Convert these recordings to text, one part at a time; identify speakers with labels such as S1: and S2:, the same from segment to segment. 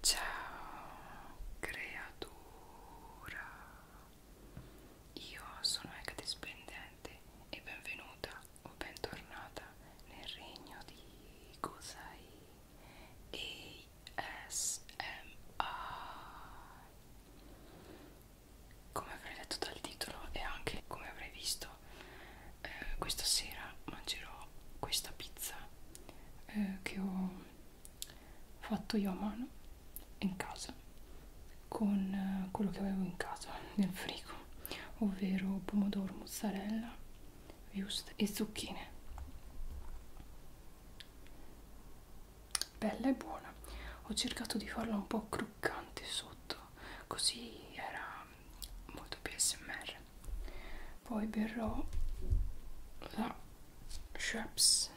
S1: Ciao creatura, io sono Hecate Splendente e benvenuta o bentornata nel regno di Gosai ASMR. Come avrei letto dal titolo e anche come avrei visto, eh, questa sera mangerò questa pizza eh, che ho fatto io a mano in casa con eh, quello che avevo in casa nel frigo ovvero pomodoro mozzarella wurst e zucchine bella e buona ho cercato di farla un po' croccante sotto così era molto più smr poi berrò la Schweppes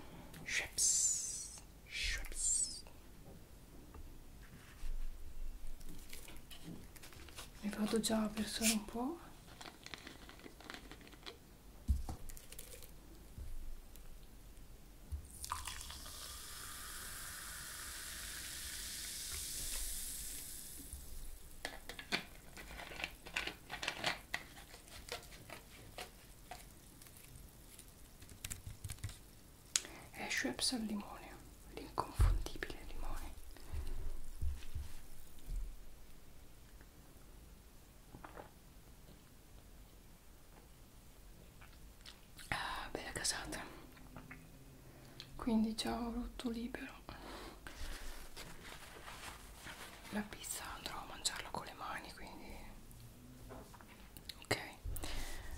S1: Schweppes Schweppes mi vado già a versare un po' è Schweppes al limone, l'inconfondibile limone ah, bella casata quindi ciao rotto libero la pizza andrò a mangiarla con le mani quindi ok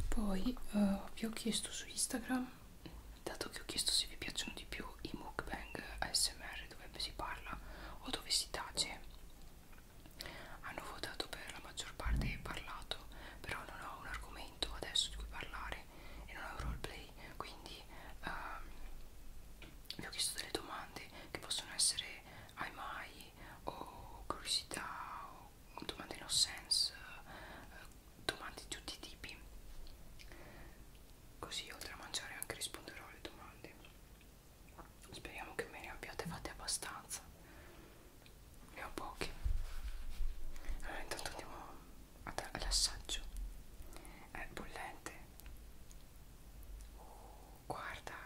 S1: poi uh, vi ho chiesto su Instagram dato che ho chiesto se vi piacciono di più i mukbang ASMR dove si parla o dove si tace hanno votato per la maggior parte parlato però non ho un argomento adesso di cui parlare e non ho un roleplay quindi uh, vi ho chiesto delle domande che possono essere ai mai o curiosità o domande no sense eh, domande di tutti i tipi così oltre a mangiare anche risponderò alle domande speriamo che me ne abbiate fatte abbastanza ne ho poche allora intanto andiamo all'assaggio è bollente oh, guarda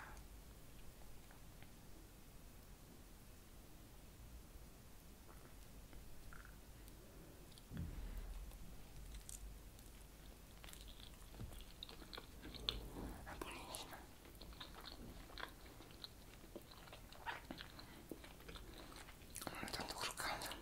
S1: è buonissima non è tanto croccante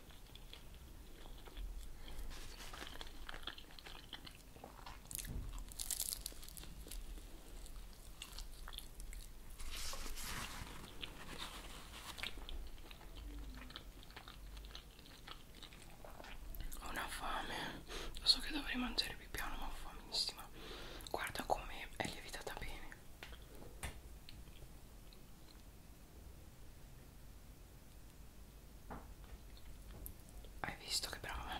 S1: Ho una fame, lo so che dovrei mangiare più piano, ma ho famissima. Guarda come è lievitata bene. Hai visto che brava?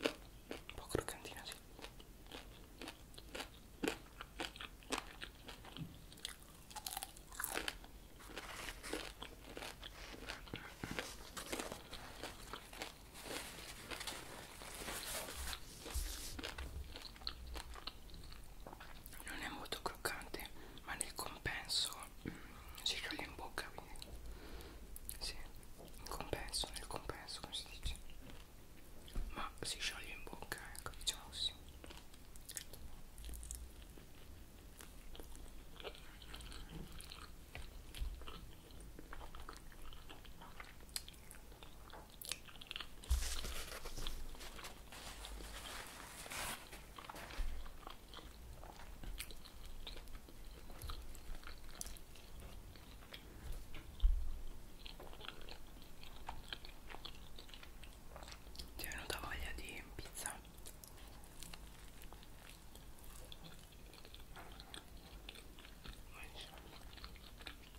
S1: Un po' croccantina, sì non è molto croccante ma nel compenso mm, si scioglie in bocca quindi sì in compenso nel compenso come si dice ma si scioglie in bocca ecco diciamo così ti è venuta voglia di pizza?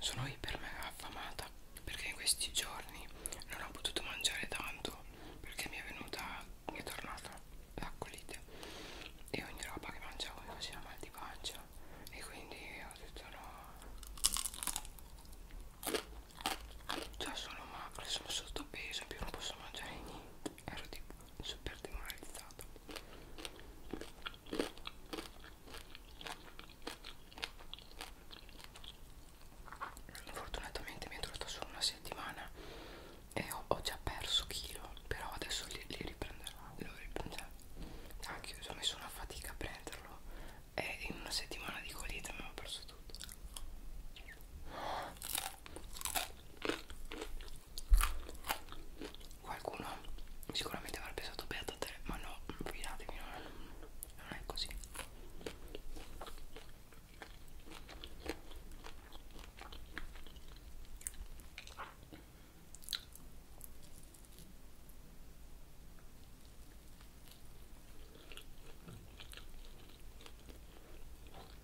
S1: Sono iper mega affamata perché in questi giorni non ho potuto mangiare tanto perché mi è venuta, mi è tornata la colite e ogni roba che mangiavo mi faceva mal di pancia e quindi ho detto no, già sono macro, sono sottopeso, più non posso mangiare niente ero tipo super demoralizzato fortunatamente mi è durata solo una settimana e ho, ho già perso chilo però adesso li, li riprenderò lo riprenderò anche ah, io ho messo una fatica a prenderlo e in una settimana dico lì ho perso tutto qualcuno sicuramente avrà pensato beata te ma no fidatevi non, non è così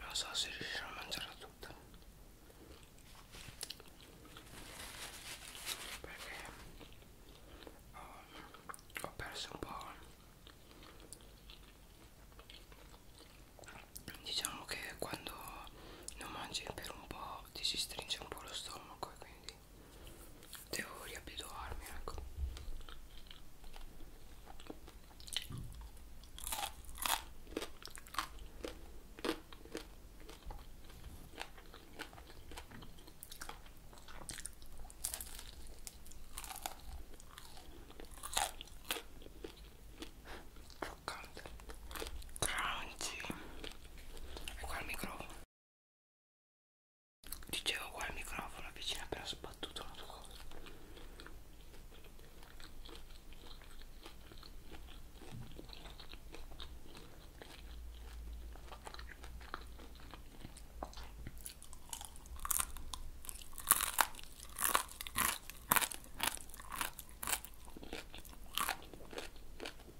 S1: non so se riuscirò a mangiarla tutta perché ho, ho perso un po' diciamo che quando non mangi per un po' ti si stringe un po' lo stomaco e quindi quindi devo riabituarmi ecco Croccante Crunchy E qua il microfono Dicevo qua il microfono vicino appena sbattuto la tua cosa.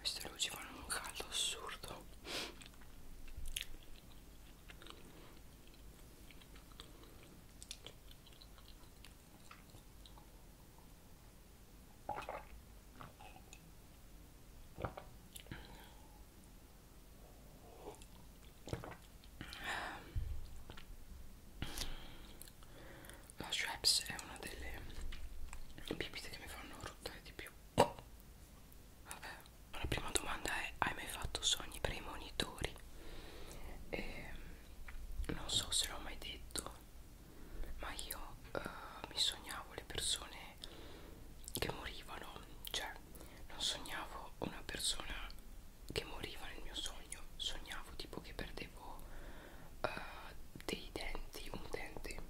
S1: Queste luci fanno un caldo assurdo. La Schweppes è una delle bibite che mi fanno ruttare di più. Vabbè, la prima domanda è: hai mai fatto sogni premonitori? E ehm, non so se l'ho mai detto ma io uh, mi sognavo le persone che morivano, cioè non sognavo una persona che moriva nel mio sogno, sognavo tipo che perdevo uh, dei denti, un dente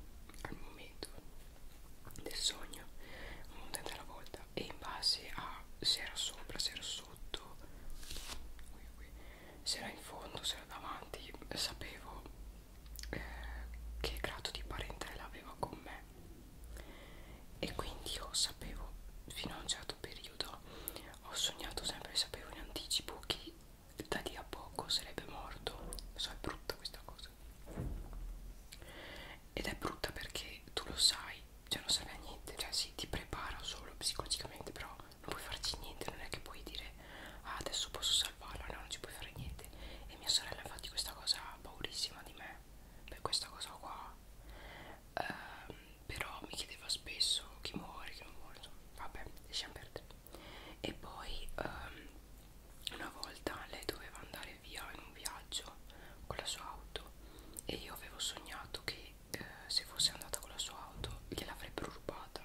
S1: al momento del sogno, un dente alla volta e in base a se era sopra, se era sotto, se era in fondo, se era davanti, sapevo eh, che grado di parentela aveva con me e quindi io sapevo fino a un certo periodo ho sognato sempre sapevo in anticipo che da lì a poco sarebbe morto so è brutta questa cosa ed è brutta perché tu lo sai cioè non serve a niente cioè sì ti prepara solo psicologicamente però non puoi farci niente non è che puoi dire ah adesso posso salvarla, no, non ci puoi fare niente. E mia sorella, infatti, questa cosa ha paurissima di me per questa cosa qua. Uh, però mi chiedeva spesso chi muore, chi non muore, insomma, vabbè, lasciamo perdere. E poi um, una volta lei doveva andare via in un viaggio con la sua auto e io avevo sognato che eh, se fosse andata con la sua auto gliel'avrebbero rubata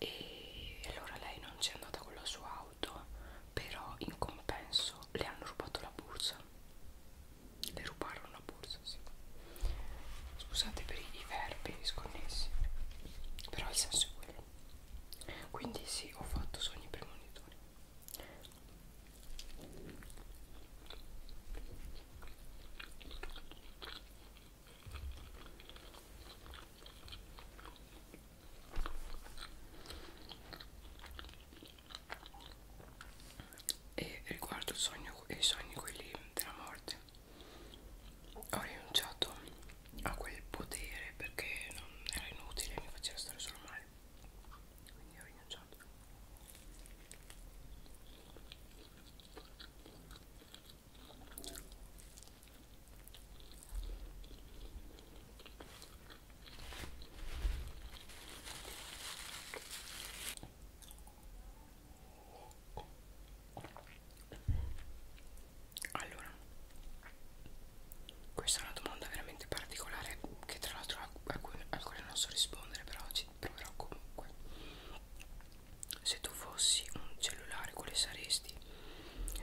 S1: e allora lei non c'è andata con la sua auto però in compenso le hanno rubato la borsa le rubarono la borsa sì. scusate per i verbi sconnessi però il senso è quello quindi sì ho fatto sogni premonitori e riguardo il sogno, i sogni quelli della morte ho rinunciato a quel potere perché non era inutile mi faceva stare solo male quindi ho rinunciato allora, questa è una domanda veramente particolare che tra l'altro a cui, a cui non so rispondere, però ci proverò comunque se tu fossi un cellulare quale saresti?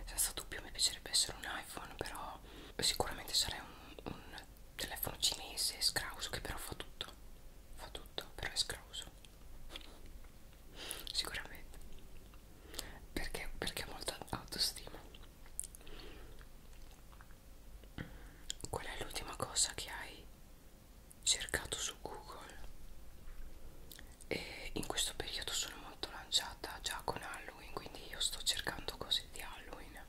S1: Senza dubbio mi piacerebbe essere un iPhone però sicuramente sarei un, un telefono cinese scrauso che però fa tutto fa tutto però è scrauso sicuramente perché, perché ha molta autostima qual è l'ultima cosa che hai cercato su Google? e in questo periodo sono molto lanciata già con Halloween quindi io sto cercando cose di Halloween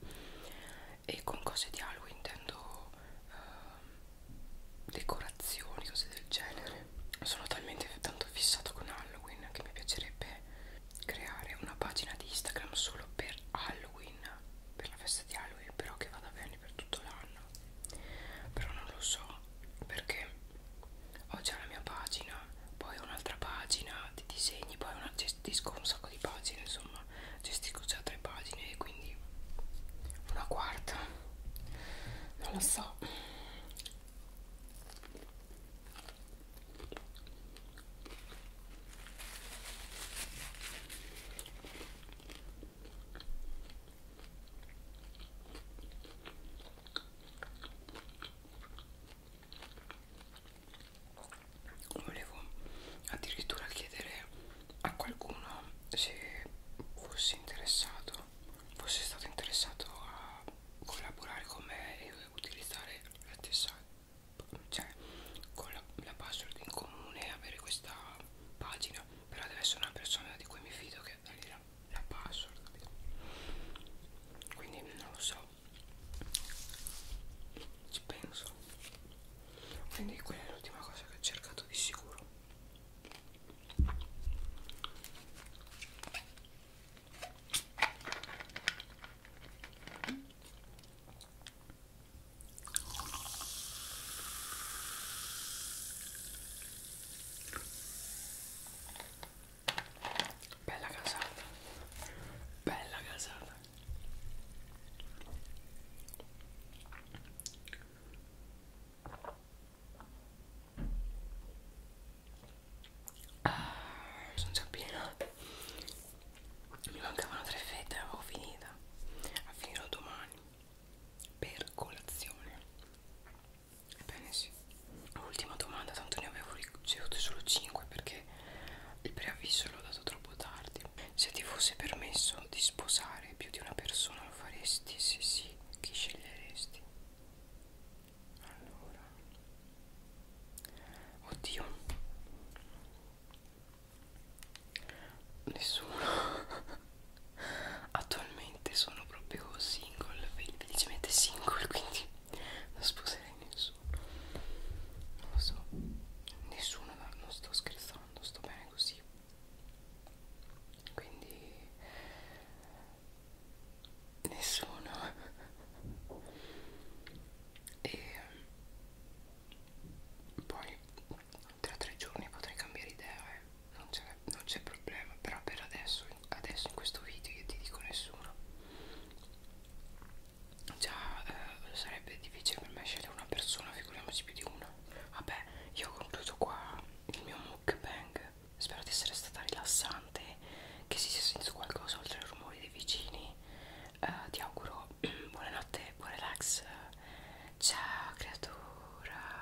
S1: e con cose di Halloween intendo uh, decorazioni cose del genere sono talmente tanto fissato con Halloween che mi piacerebbe creare una pagina di Instagram solo per Halloween per la festa di Halloween però che vada bene per tutto l'anno però non lo so perché ho già la mia pagina poi un'altra pagina di disegni poi una, gestisco un sacco di pagine insomma gestisco già tre pagine e quindi una quarta non lo so volevo addirittura chiedere a qualcuno se fosse interessato fosse stato interessato a collaborare con me e utilizzare la stessa cioè con la, la password in comune avere questa pagina però deve essere una persona di cui mi fido che la, la password capito? quindi non lo so ci penso quindi quella è l'ultima cosa che ho cercato di sicuro Bella casata. Bella casata. Ah, sono già piena. Mi mancavano tre fette, avevo finita. A finirò domani per colazione. Ebbene sì. Ultima domanda, tanto ne avevo ricevute solo 5 perché il preavviso l'ho dato troppo tardi. Se ti fosse permesso di sposare più di una persona lo faresti? Se sì, chi sceglieresti? Allora... Oddio. Nessuno. attualmente sono proprio single felicemente single quindi non sposerei nessuno non lo so nessuno non sto scherzando sto bene così quindi nessuno e ehm, poi tra tre giorni potrei cambiare idea eh non c'è problema però per adesso adesso in questo video io ti dico nessuno già eh, sarebbe difficile per me scegliere una persona figuriamoci più di una vabbè io concludo qua il mio mukbang spero di essere stata rilassante che si sia sentito qualcosa oltre ai rumori dei vicini eh, ti auguro buonanotte buon relax ciao creatura